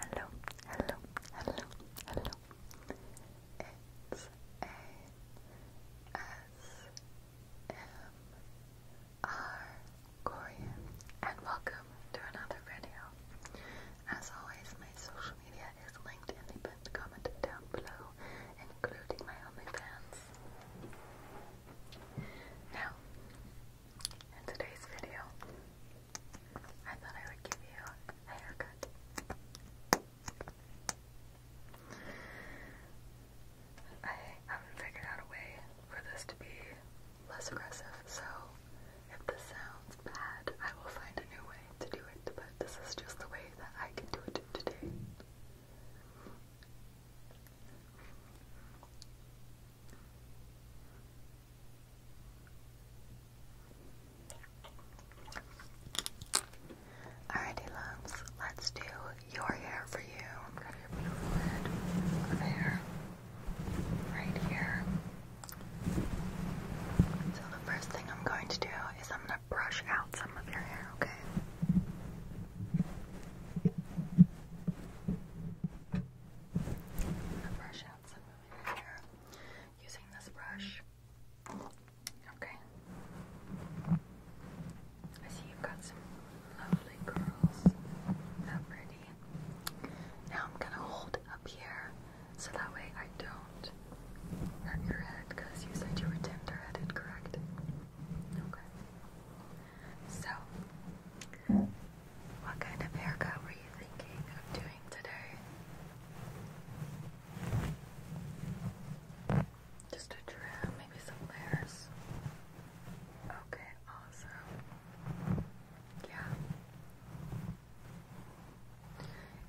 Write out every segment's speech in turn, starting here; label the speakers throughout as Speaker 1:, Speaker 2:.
Speaker 1: Hello, hello, hello, hello. A S M R Korean and welcome to another video. As always, my social media is linked in the pinned comment down below, including my OnlyFans. Now, in today's video, I thought I would give you a haircut. I haven't figured out a way for this to be less aggressive, so if this sounds bad, I will find a new way to do it, but this is just the way that I can do it today. Alrighty, loves. Let's do your hair for you. I'm gonna do your forehead of hair right here. So the first thing I'm going to do is I'm gonna brush out some of your hair. Okay. I'm using this brush. Okay. I see you've got some lovely curls. How pretty. Now I'm gonna hold up here so that way I don't hurt your head you said you were tender headed, correct? Okay. So what kind of haircut were you thinking of doing today? Just a trim, maybe some layers. Okay, awesome. Yeah.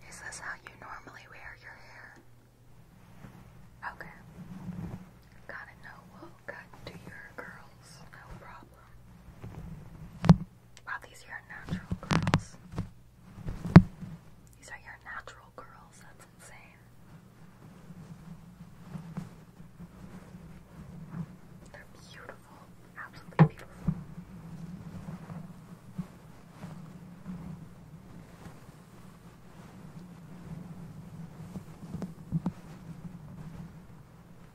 Speaker 1: Is this how you normally wear your hair? Okay. Gotta know what cut to your curls, no problem. Wow, these are your natural curls. These are your natural curls. That's insane. They're beautiful. Absolutely beautiful.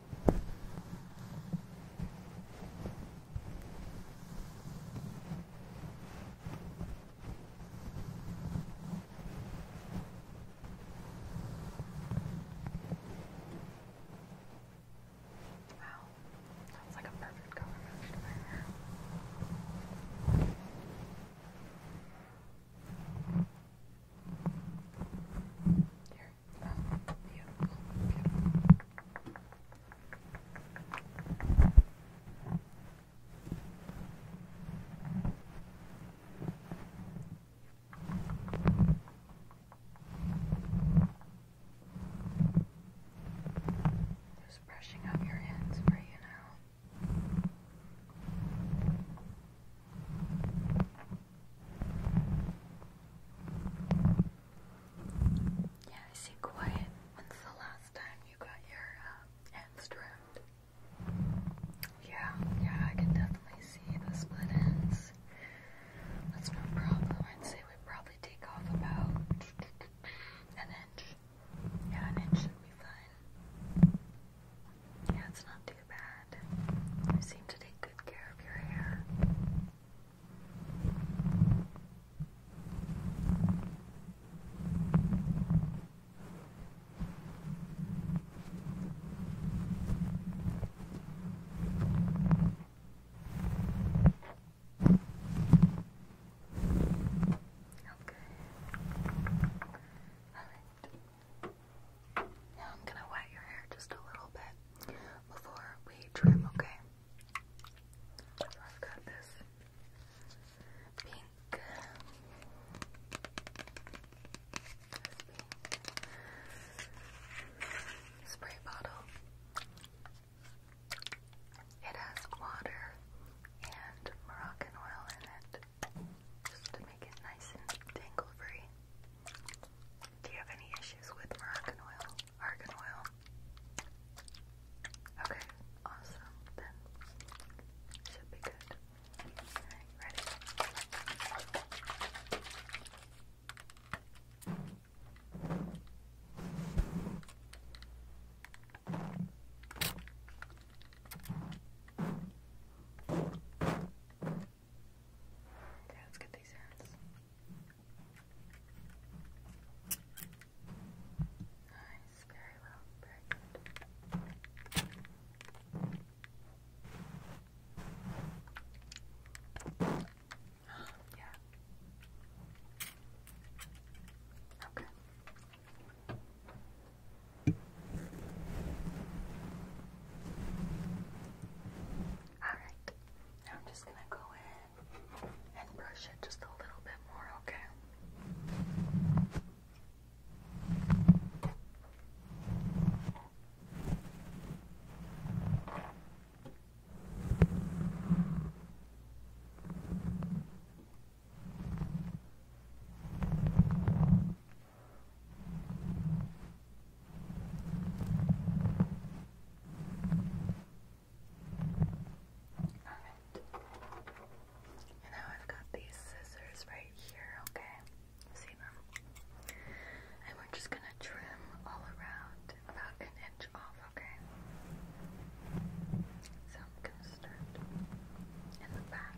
Speaker 1: Wow, that's like a perfect color match to my hair. Here, Oh, beautiful, beautiful. Just brushing up your hands for you now. Good. Yeah, I see quiet. When's the last time you got your uh, end Yeah, yeah, I can definitely see the split ends. That's no problem. I'd say we probably take off about an inch. Yeah, an inch should be fine. Yeah, it's not too bad. You seem to take good care of your hair. Alright. Now I'm going to wet your hair just a little bit before we trim, okay? So I've got this pink. spray bottle. It has water and Moroccan oil in it, just to make it nice and tangle free. Do you have any issues with Moroccan oil? Argan oil. Okay, awesome. Then should be good. Ready? Okay. Okay, let's get these hands. Nice, very well, very good. yeah. Okay. All right. I'm just gonna go in and brush it just a little bit more, Okay. Alright. And I've got these scissors right here, okay? see them? And we're just gonna trim all around about an inch off, okay? So I'm gonna start in the back.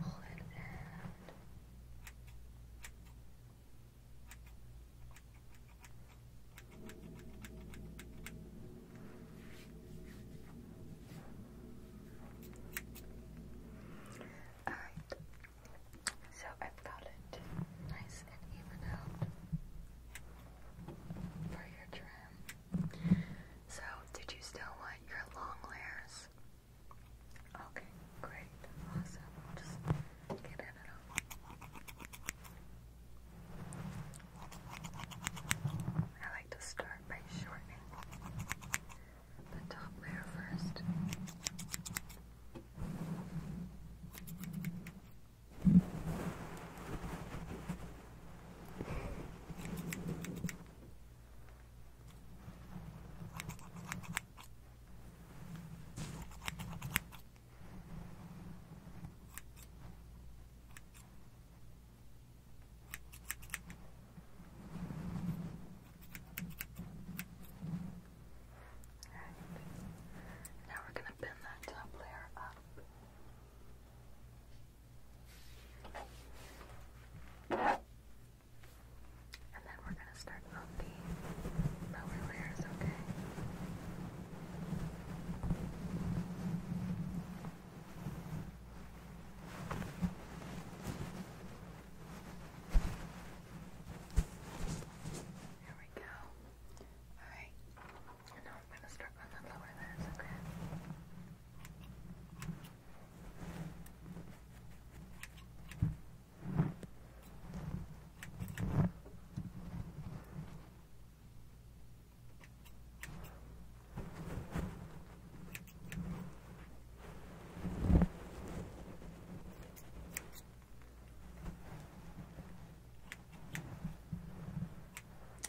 Speaker 1: Alright, so I've got it nice and even out for your trim. So, did you still want your long layers Okay, great, awesome. Just get in and out. I like to start by shortening the top layer first. Now we're going to pin that top layer up. And then we're going to start on the lower layers, okay? There we go. Alright. now I'm going to start on the lower layers, okay?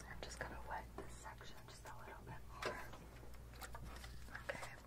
Speaker 1: I'm just going to wet this section just a little bit more. Okay.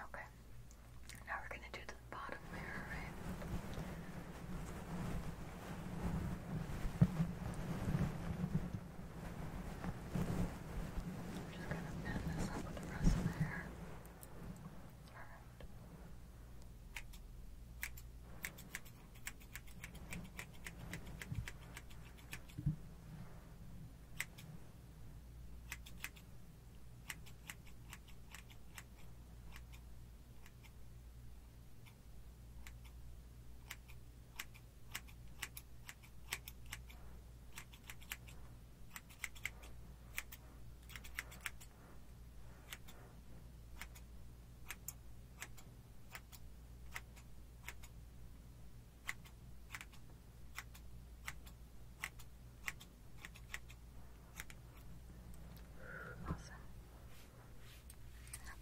Speaker 1: Okay. Now we're going to do the bottom layer, right? I'm just gonna blend this up with the rest of the hair. Alright.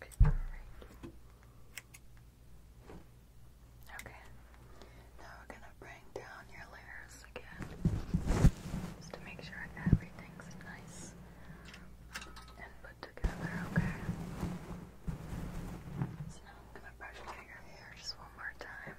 Speaker 1: Awesome. Okay, alright. Okay. Now we're gonna bring down your layers again. Just to make sure everything's nice and put together, okay? So now I'm gonna brush out your hair just one more time.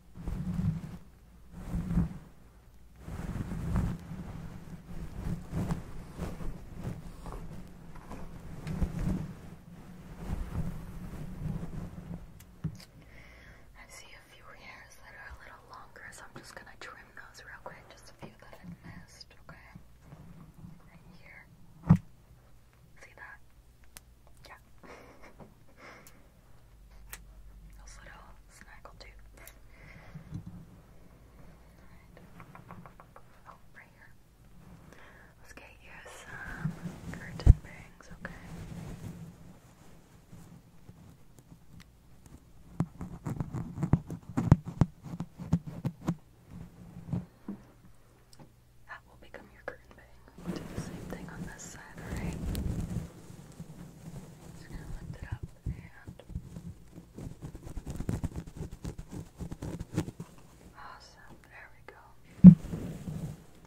Speaker 1: I see a few hairs that are a little longer, so I'm just gonna trim those real quick, just a few that have missed, okay? Right here. See that? Yeah. Those little snaggle tooth. Oh, right here. Let's get you some curtain bangs, okay? That will become your curtain We'll do the same thing on this side, alright? Just gonna lift it up and awesome. There we go.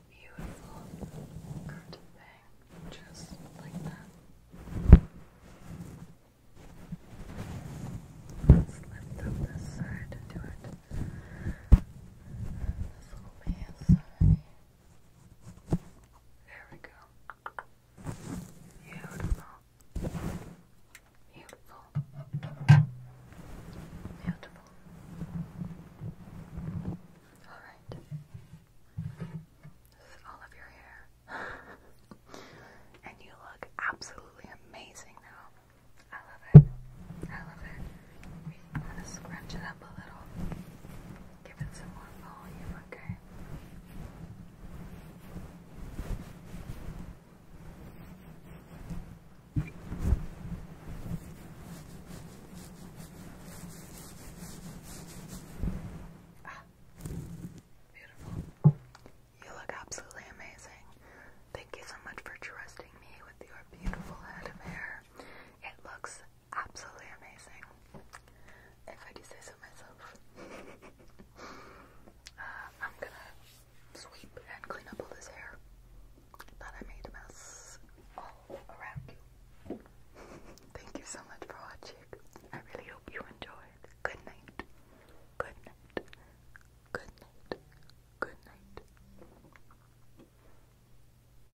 Speaker 1: Beautiful curtain bang, just like that. Let's lift up this side and do it. There we go. Beautiful. Beautiful. Beautiful. Alright. This is all of your hair. and you look absolutely amazing now. I love it. I love it. I'm gonna scrunch it up a little, give it some more volume, okay? Ah, beautiful. You look absolutely amazing. Thank you so much for trusting me with your beautiful head of hair. It looks absolutely amazing, if I do say so myself. Uh, I'm gonna sweep and clean up all this hair that I made a mess all around Thank you so much for watching. I really hope you enjoyed. Good night. Good night. Good night. Good night.